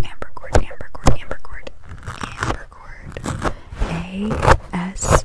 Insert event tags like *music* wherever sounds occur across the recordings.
Ambercord, Ambercord, Ambercord, Ambercord, A S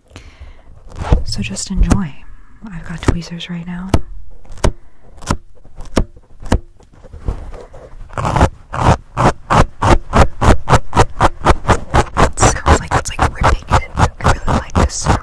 So just enjoy. I've got tweezers right now. sounds like it's like ripping it. I really like this sound.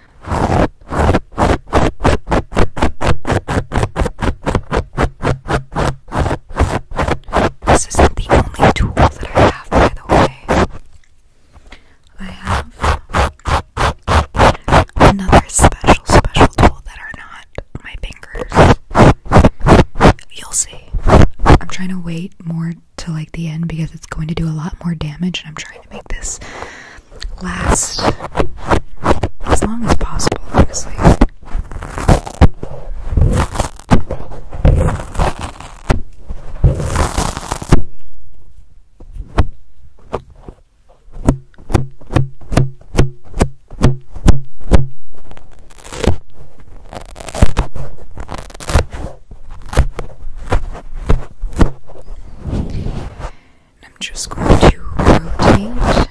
This isn't the only tool that I have, by the way. I have another special, special tool that are not my fingers. You'll see. I'm trying to wait more till like the end because it's going to do a lot more damage, and I'm trying trying to make this last as long as possible, honestly. I'm just going to rotate.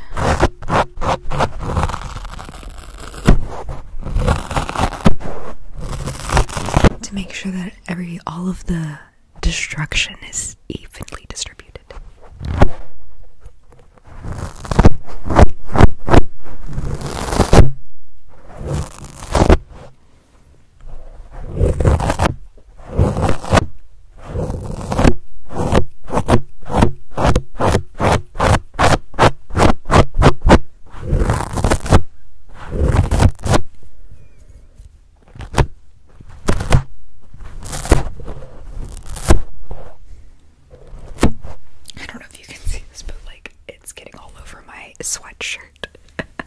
To make sure that every all of the destruction is evenly distributed. I don't know if you can see this, but like it's getting all over my sweatshirt. *laughs*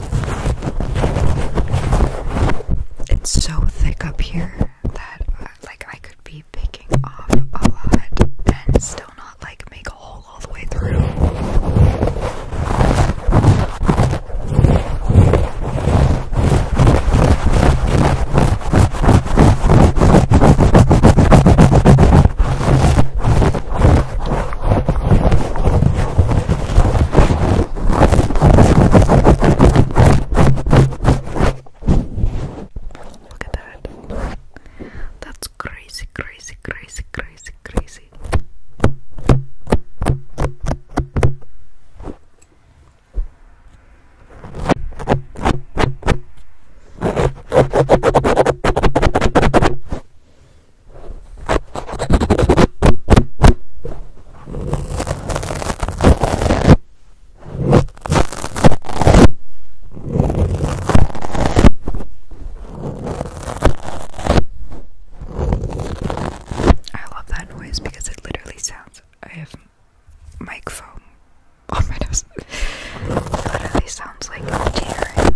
It's so thick up here that uh, like I could be picking off a lot and still not like make a hole all the way through. Look at that. That's crazy, crazy, crazy, crazy, crazy. I love that noise because it literally sounds. I have mic foam on my nose. it literally sounds like tearing.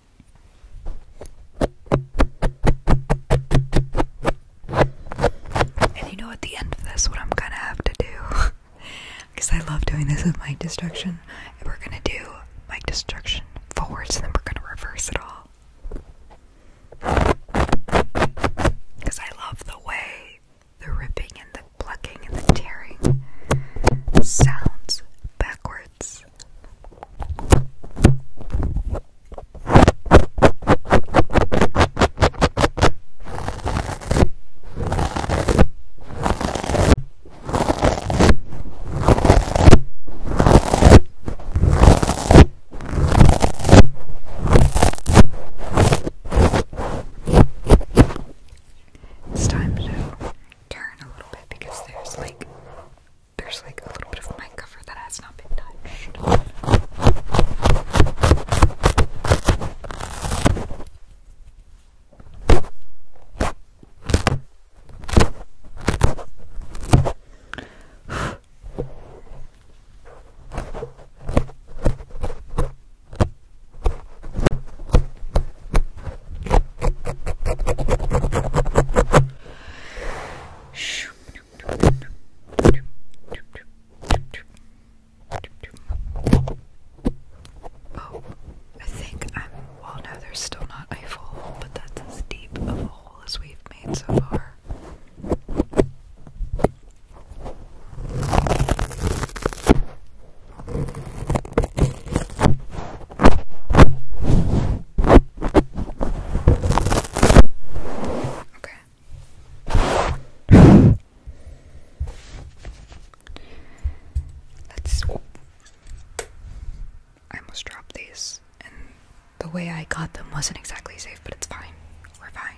And you know, at the end of this, what I'm gonna have to do, because *laughs* I love doing this with my destruction, and we're gonna do my destruction forwards, and then we're gonna reverse it all. Because I love the way the ripping and the plucking and the tearing sounds backwards. It's time to turn a little bit because there's like there's like a little bit of my cover that has not been touched. Oh, I think I'm. Well, no, there's still not a hole, but that's as deep a hole as we've made so far. Okay. Let's. Oh. I must drop these, and the way I got them wasn't exactly safe, but it's fine. We're fine.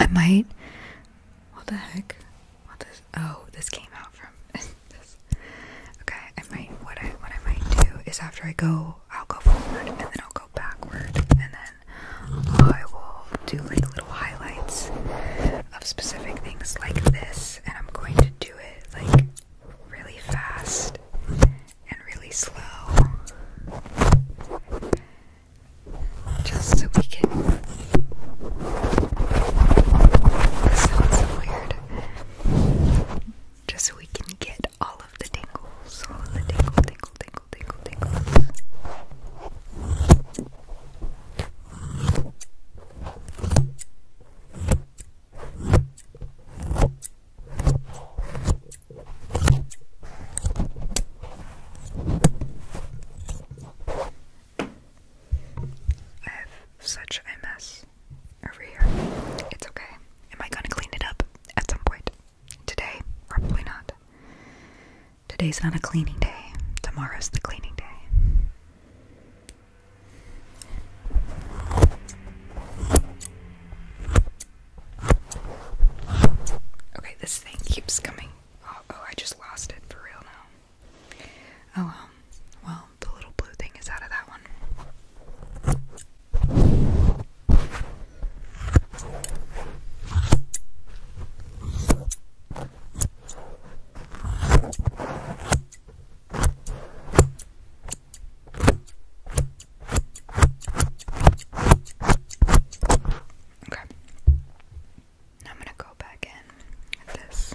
I might. What the heck? What this? Oh, this came out from. *laughs* Okay, I might what I what I might do is after I go I'll go forward and then I'll go backward and then I will do like little highlights of specific things like this and I'm going to do it like really fast and really slow just so we can this sounds so weird just so we can get all of the tingles, all the tingle, tingle, tingle, tingle, tingles. I have such a mess over here. It's okay. Am I gonna clean it up at some point? Today? Probably not. Today's not a cleaning day. Tomorrow's the cleaning day. Okay, this thing keeps coming. Oh, oh I just lost it for real now. Oh, um, well, the little blue thing is out of that one. Okay. I'm going to go back in with this.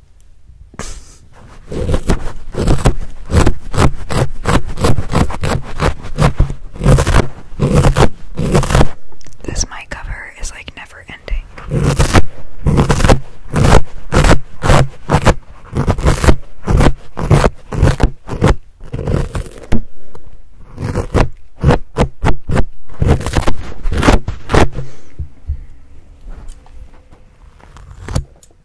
This mic cover is like never ending.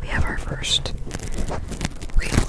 We have our first real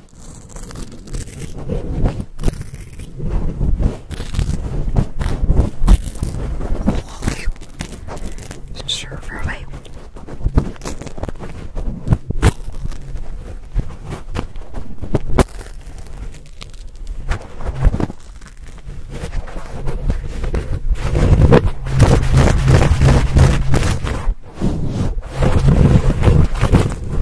Sure, for away.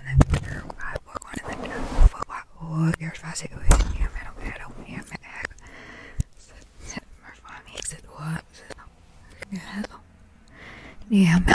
أنا بتفرج معاه وأكون أنا فوق وأقعد في راسي أقول يا مالو مالو يا مالو مرفوع ميك زد وات زد هذا يا مالو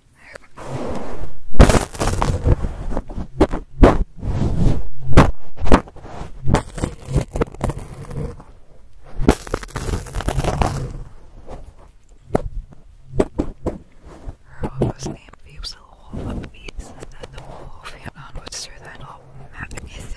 Her Wolf's name Phoebe's little wolf of beasts, and the wolf ran onwards through the all map is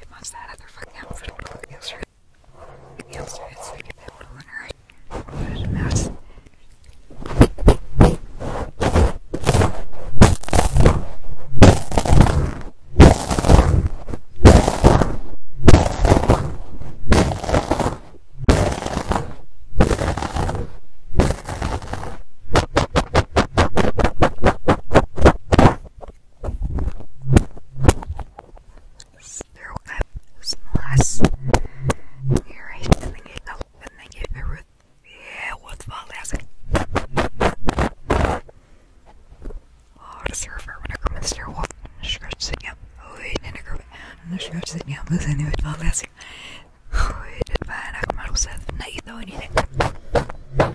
It was that other fucking outfit look yesterday. Yesterday, it's like that little winner. What a mess. Their web is Here I can get a and then get a root. Yeah, what's my last? Oh, the server when I come and stare stretch sitting up. Oh, and I go and the stretch sitting up. Listen, it was last. Oh, it fine. I come out with nothing, though, anything.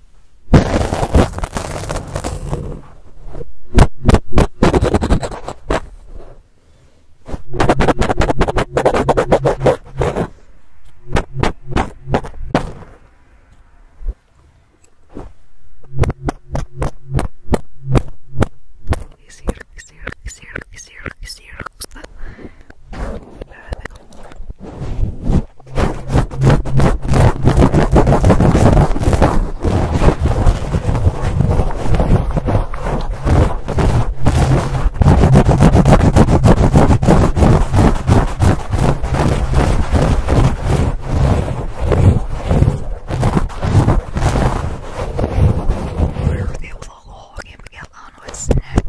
La verdad it was a long game to get on with snap. It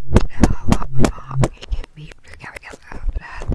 can be to get out of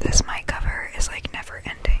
This mic cover is like never ending.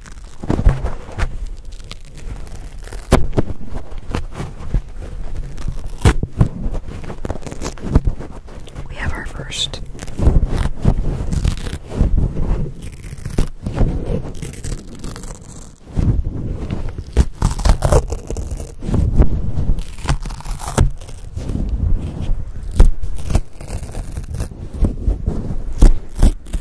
We have our first.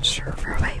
Sure, away.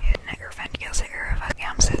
Jedne girlfriendje ze van jam zit.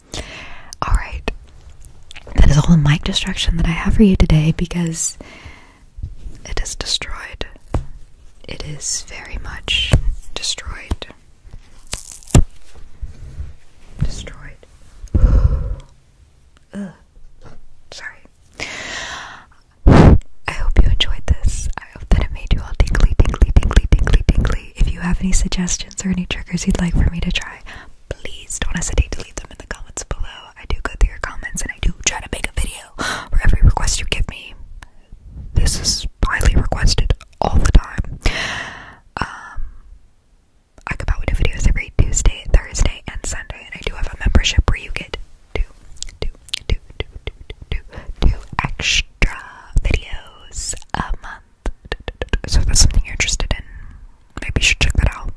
Alright, that is all the mic distraction that I have for you today because it is destroyed. It is very much destroyed. Destroyed. *gasps* Ugh. Sorry. I hope you enjoyed this. I hope that it made you all tingly, tingly, tingly, tingly, tingly, if you have any suggestions or any triggers you'd like for me to try, please don't hesitate to leave them in the comments below. I do go through your comments and I do try to make a video for every request you give me. This is highly requested all the time. Um, I come out with new videos every Tuesday, Thursday, and Sunday, and I do have a membership where you get two, two, two, two, two, two, two, two extra videos a month. So if that's something you're interested in, maybe you should check that out.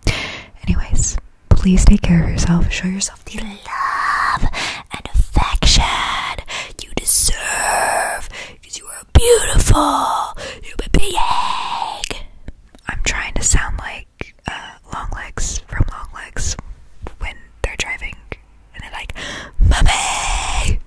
Anyways, please take care of yourself. Show yourself the love and affection you deserve because you are beautiful You human egg. I'm trying to sound like uh, long legs from long legs when they're driving and they're like, Mommy!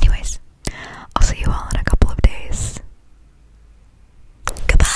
Anyways, I'll see you all in a couple of days. Goodbye.